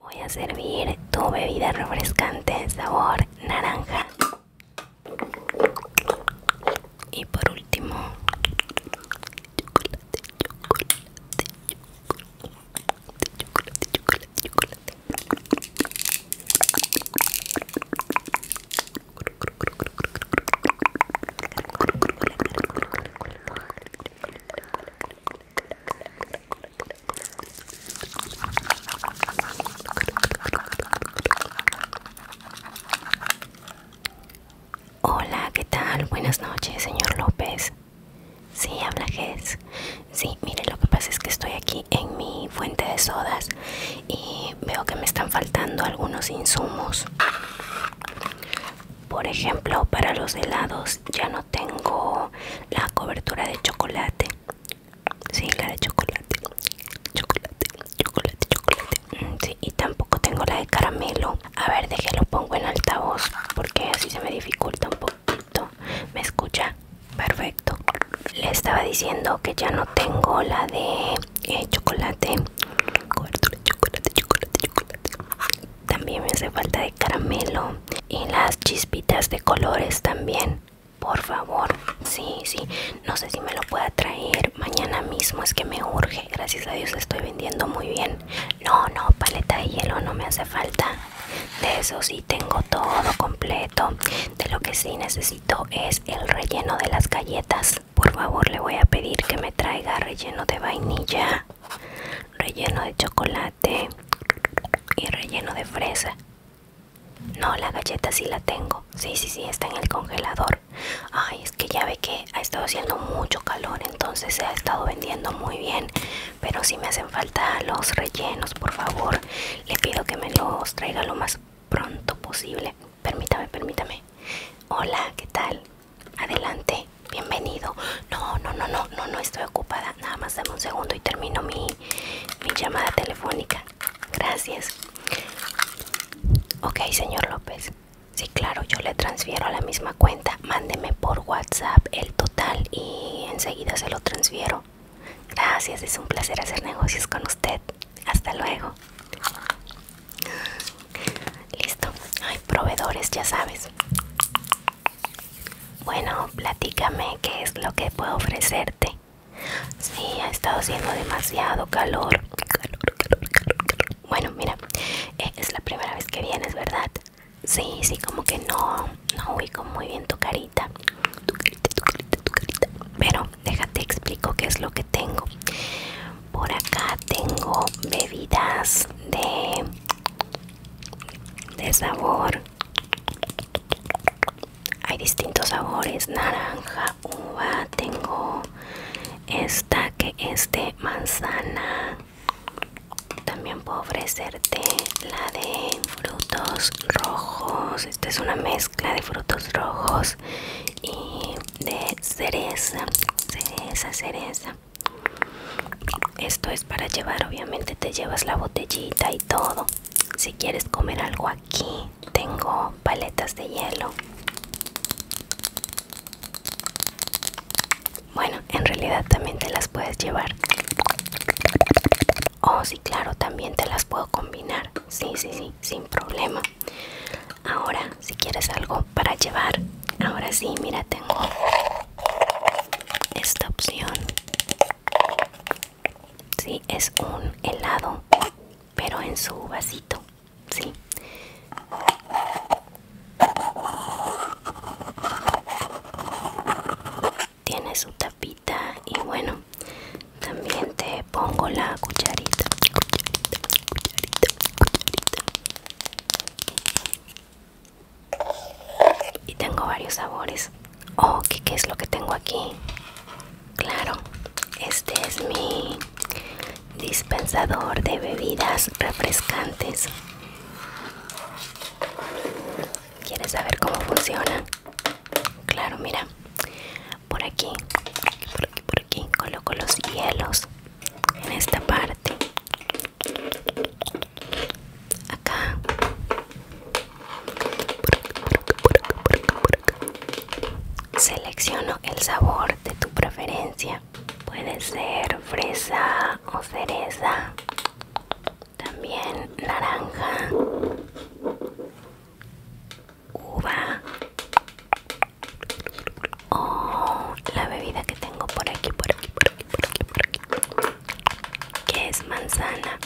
Voy a servir tu bebida refrescante sabor naranja. Y por último, chocolate, chocolate, chocolate, chocolate, chocolate. chocolate. Hola, ¿qué tal? Buenas noches, señor López. Sí, habla Jess. Sí, mire, lo que pasa es que estoy aquí en mi fuente de sodas y veo que me están faltando algunos insumos por ejemplo para los helados ya no tengo la cobertura de chocolate sí la de chocolate chocolate chocolate chocolate mm, sí, y tampoco tengo la de caramelo a ver déjelo pongo en altavoz porque así se me dificulta un poquito me escucha perfecto le estaba diciendo que ya no tengo la de eh, chocolate cobertura de chocolate chocolate chocolate también me hace falta de caramelo y las chispitas de colores también por favor sí sí no sé si me lo pueda traer mañana mismo es que me urge gracias a dios estoy vendiendo muy bien no no paleta de hielo no me hace falta de eso sí tengo todo completo de lo que sí necesito es el relleno de las galletas por favor le voy a pedir que me traiga relleno de vainilla relleno de chocolate y relleno de fresa. No, la galleta sí la tengo. Sí, sí, sí, está en el congelador. Ay, es que ya ve que ha estado haciendo mucho calor, entonces se ha estado vendiendo muy bien. Pero si me hacen falta los rellenos, por favor, le pido que me los traiga lo más pronto posible. Permítame, permítame. Hola, ¿qué tal? Adelante, bienvenido. No, no, no, no, no, no estoy ocupada. Nada más dame un segundo y termino mi, mi llamada telefónica. Gracias. Ok, señor López. Sí, claro, yo le transfiero a la misma cuenta. Mándeme por WhatsApp el total y enseguida se lo transfiero. Gracias, es un placer hacer negocios con usted. Hasta luego. Listo. Hay proveedores, ya sabes. Bueno, platícame qué es lo que puedo ofrecerte. Sí, ha estado haciendo demasiado calor. Bueno, mira, eh, es la primera vez que vienes, ¿verdad? Sí, sí, como que no, no ubico muy bien tu carita. Tu carita, tu carita, tu carita. Pero déjate explico qué es lo que tengo. Por acá tengo bebidas de de sabor hay distintos sabores naranja uva tengo esta que es de manzana también puedo ofrecerte la de frutos rojos esta es una mezcla de frutos rojos y de cereza cereza cereza esto es para llevar, obviamente te llevas la botellita y todo. Si quieres comer algo aquí, tengo paletas de hielo. Bueno, en realidad también te las puedes llevar. Oh, sí, claro, también te las puedo combinar. Sí, sí, sí, sin problema. Ahora, si quieres algo para llevar, ahora sí, mira, tengo esta opción si es un helado pero en su vasito sí tiene su tapita y bueno también te pongo la cucharita, cucharita. Y tengo varios sabores. Oh, ¿qué, es lo que tengo aquí? Claro, este es mi dispensador de bebidas refrescantes. ¿Quieres saber cómo funciona? Claro, mira. por aquí, por aquí, por aquí coloco los hielos en esta parte acá selecciono el sabor de tu preferencia puede ser fresa o cereza también naranja uva o oh, la bebida que tengo por aquí, por aquí, por aquí, por aquí, por aquí. Que es manzana.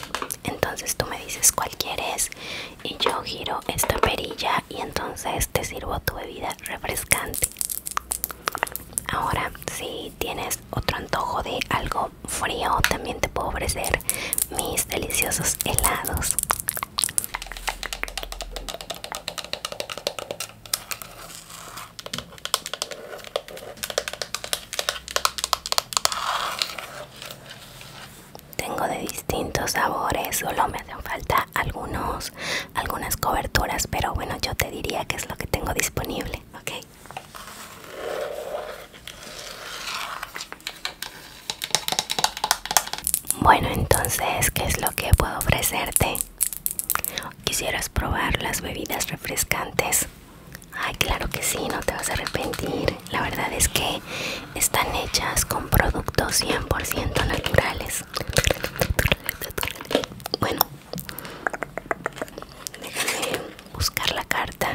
Entonces tú me dices cuál quieres y yo giro esta perilla y entonces te sirvo tu bebida refrescante. Ahora, si tienes otro antojo de algo frío, también te puedo ofrecer mis deliciosos helados. Tengo de distintos sabores, solo me hacen falta algunos, algunas coberturas, pero bueno, yo te diría que es lo que tengo disponible, ¿ok? Bueno, entonces, ¿qué es lo que puedo ofrecerte? ¿Quisieras probar las bebidas refrescantes? Ay, claro que sí, no te vas a arrepentir. La verdad es que están hechas con productos 100% naturales. Bueno, déjame buscar la carta.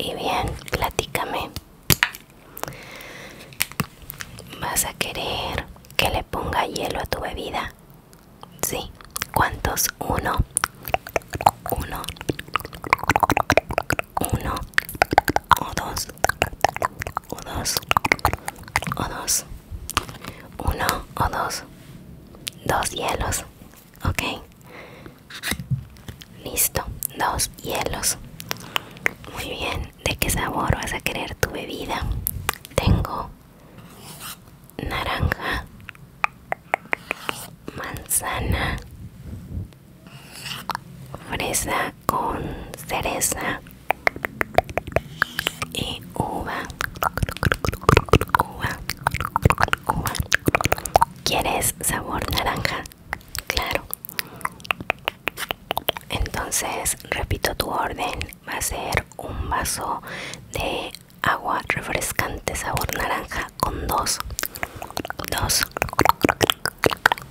Y bien, platícame. ¿Vas a querer que le ponga hielo a tu bebida? Sí, ¿cuántos? Uno, uno, uno, o dos, o dos, o dos, uno, o dos, dos hielos, ok. Listo, dos hielos. Muy bien, ¿de qué sabor vas a querer tu bebida? Tengo naranja, manzana, fresa con cereza y uva. ¿Quieres sabor naranja? Claro. Entonces, repito tu orden, va a ser un vaso de agua refrescante sabor naranja con dos dos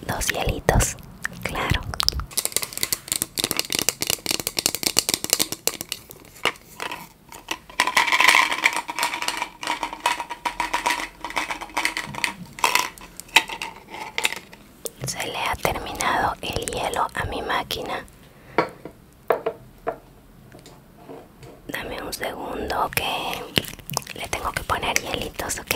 dos hielitos claro se le ha terminado el hielo a mi máquina Dame un segundo que le tengo que poner hielitos, ¿ok?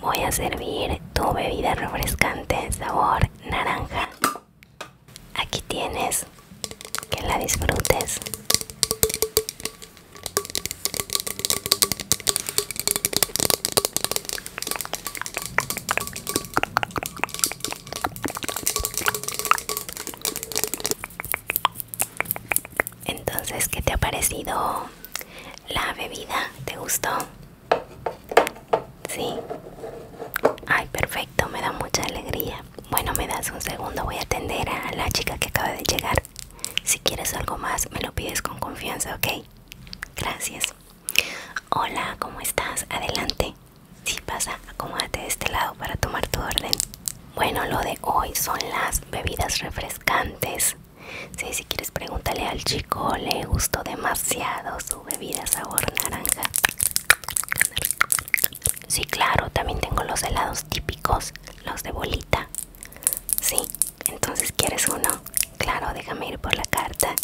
Voy a servir tu bebida refrescante sabor naranja. Aquí tienes, que la disfrutes. Entonces, ¿qué te ha parecido la bebida? ¿Te gustó? Sí. Ay, perfecto, me da mucha alegría. Bueno, me das un segundo, voy a atender a la chica que acaba de llegar. Si quieres algo más, me lo pides con confianza, ¿ok? Gracias. Hola, ¿cómo estás? Adelante. Si pasa, acomódate de este lado para tomar tu orden. Bueno, lo de hoy son las bebidas refrescantes. Sí, si quieres, pregúntale al chico, le gustó demasiado su bebida sabor naranja. Sí, claro, también tengo los helados típicos, los de bolita. Sí, entonces quieres uno. Claro, déjame ir por la carta.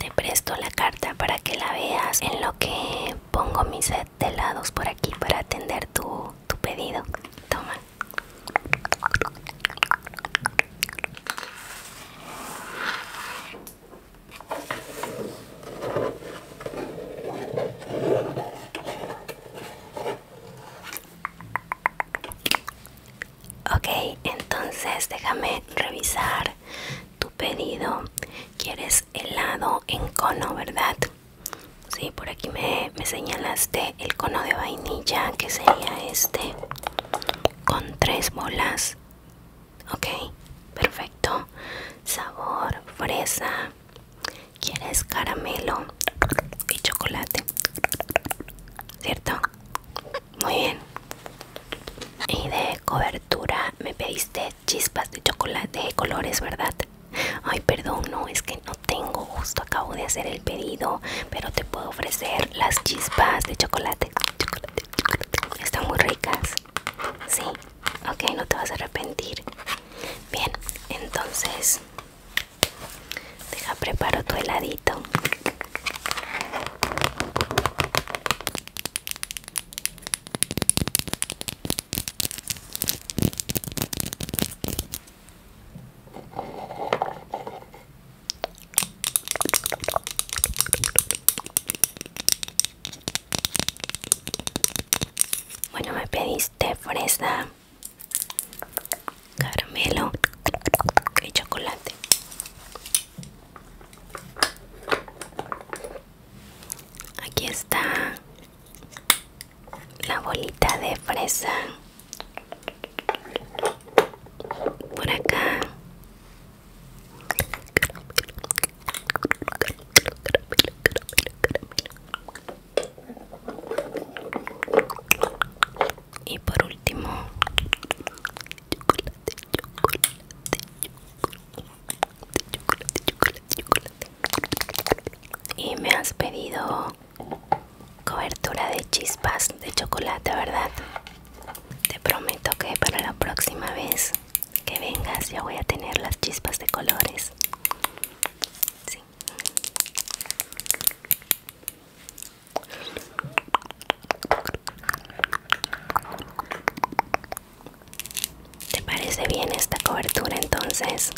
Te presto la carta para que la veas en lo que pongo mis set de helados por aquí para atender tu, tu pedido. Toma. Ok, entonces déjame revisar tu pedido. Quieres helado en cono, ¿verdad? Sí, por aquí me, me señalaste el cono de vainilla, que sería este, con tres bolas Ok, perfecto. Sabor, fresa. ¿Quieres caramelo y chocolate? ¿Cierto? Muy bien. Y de cobertura me pediste chispas de chocolate de colores, ¿verdad? Ay, perdón, no, es que no tengo, justo acabo de hacer el pedido, pero te puedo ofrecer las chispas de chocolate. chocolate, chocolate. Están muy ricas. Sí, Okay, no te vas a arrepentir bien entonces deja preparo tu heladito bueno, me pediste fresa, caramelo y chocolate. Aquí está la bolita de fresa. Por acá y por último, chocolate, chocolate, chocolate, chocolate, chocolate. Y me has pedido cobertura de chispas de chocolate, ¿verdad? Te prometo que para la próxima vez que vengas ya voy a tener las chispas de colores ¿Te parece bien esta cobertura entonces?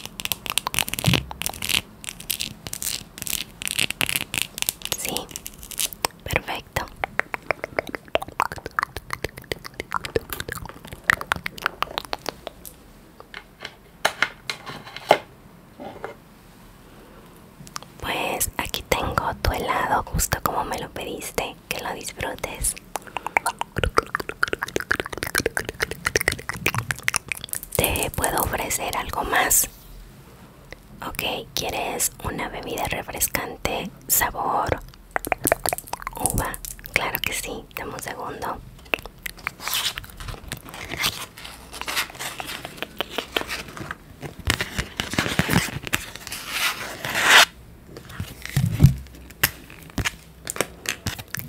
Sí, perfecto. Pues aquí tengo tu helado justo como me lo pediste, que lo disfrutes. Te puedo ofrecer algo más. Ok, ¿quieres una bebida refrescante sabor uva, claro que sí, dame un segundo.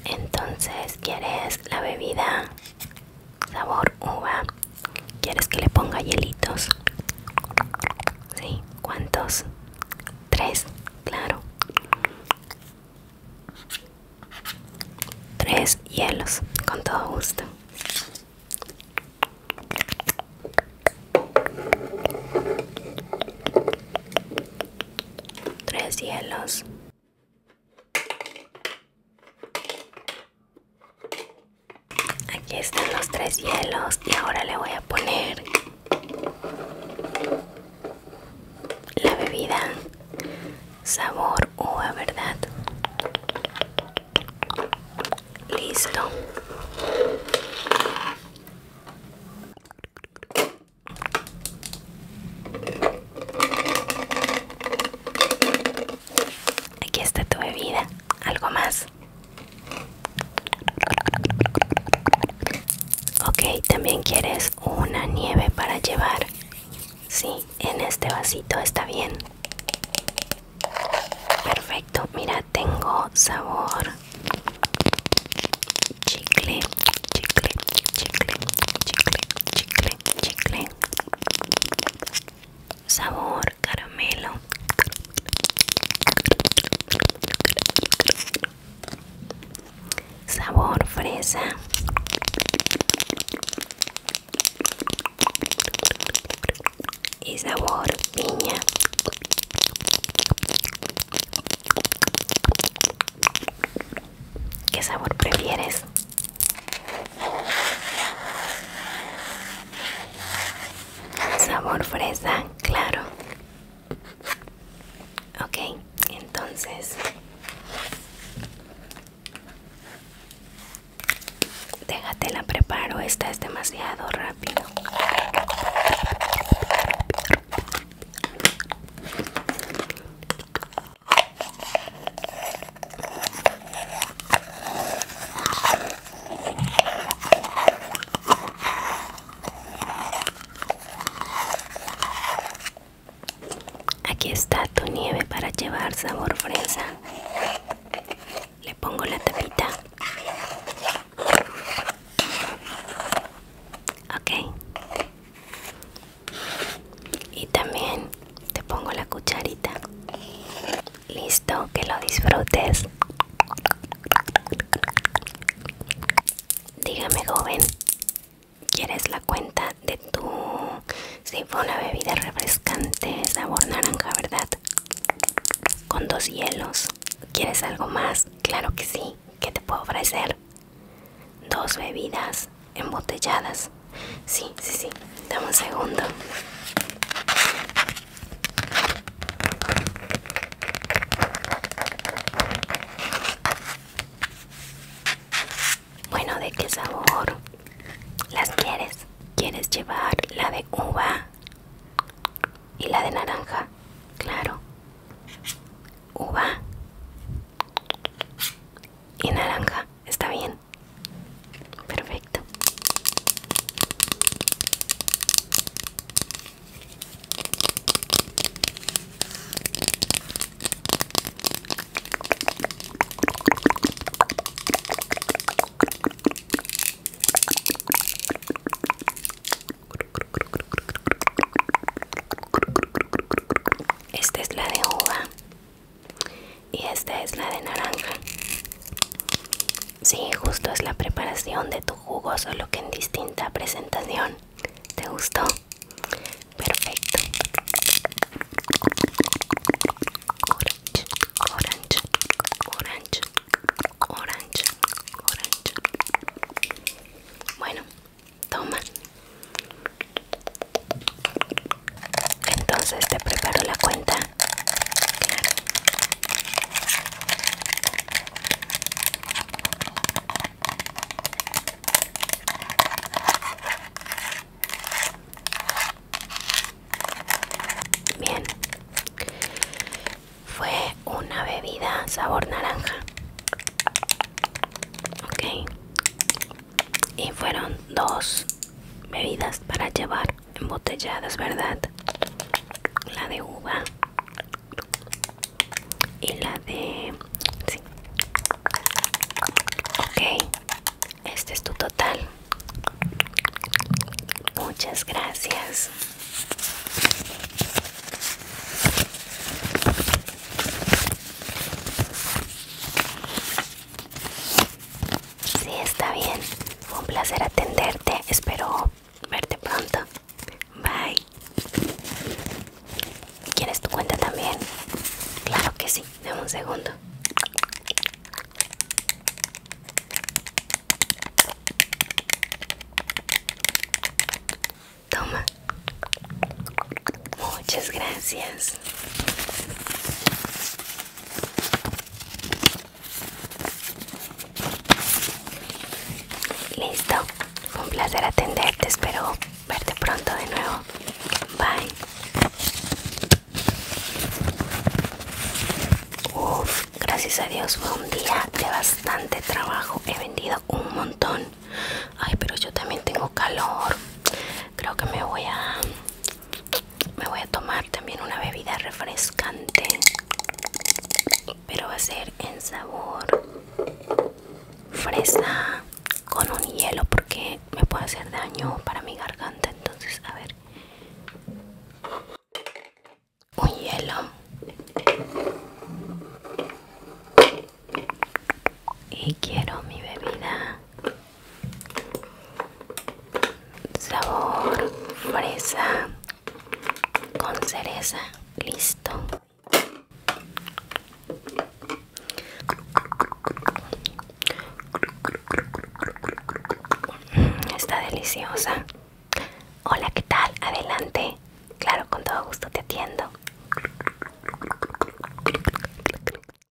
Entonces, ¿quieres la bebida? Sabor uva. ¿Quieres que le ponga hielitos? ¿Sí? ¿Cuántos? Tres, claro. Tres hielos, con todo gusto. Tres hielos. Aquí están los tres hielos y ahora le voy a poner la bebida sabor uva, ¿verdad? Listo. Aquí está tu bebida. ¿Algo más? Ok, también quieres una nieve para llevar. Sí, en este vasito está bien. Perfecto, mira, tengo sabor chicle, chicle, chicle, chicle, chicle, chicle, sabor caramelo sabor fresa y sabor piña ¿Qué sabor prefieres? sabor fresa claro ok entonces déjate la preparo esta es demasiado rápido Aquí está tu nieve para llevar sabor fresa. Le pongo la tapita. Ok. Y también te pongo la cucharita. Listo, que lo disfrutes. Dígame, joven, ¿quieres la cuenta de tu... si fue una bebida refrescante, sabor naranja, ¿verdad? Con dos hielos. ¿Quieres algo más? Claro que sí. ¿Qué te puedo ofrecer? Dos bebidas embotelladas. Sí, sí, sí. Dame un segundo. Bueno, ¿de qué sabor las quieres? ¿Quieres llevar la de uva y la de naranja? Claro. Uva y naranja está bien. Perfecto. Esta es la de uva y esta es la de naranja Sí, justo es la preparación de tu jugo, solo que en distinta presentación. ¿Te gustó? Perfecto. Orange, orange, orange, orange, orange. Bueno, toma. Entonces te preparo la cuenta. Bien. Fue una bebida sabor naranja. Ok. Y fueron dos bebidas para llevar embotelladas, ¿verdad? La de uva y la de... Ok, este es tu total. Muchas gracias. Sí, está bien. Fue un placer atenderte. Espero verte pronto. Bye. ¿Quieres tu cuenta también? Claro que sí. Dame un segundo. Toma. Muchas gracias. Listo, Fue un placer atenderte, espero verte pronto de nuevo. Bye. gracias a Dios fue un día de bastante trabajo, he vendido un montón. Ay, pero yo también tengo calor. Creo que me voy a me voy a tomar también una bebida refrescante pero va a ser en sabor fresa con un hielo porque me puede hacer daño para mi garganta entonces a ver un hielo y quiero mi bebida sabor fresa con cereza listo mm, está deliciosa hola qué tal adelante claro con todo gusto te atiendo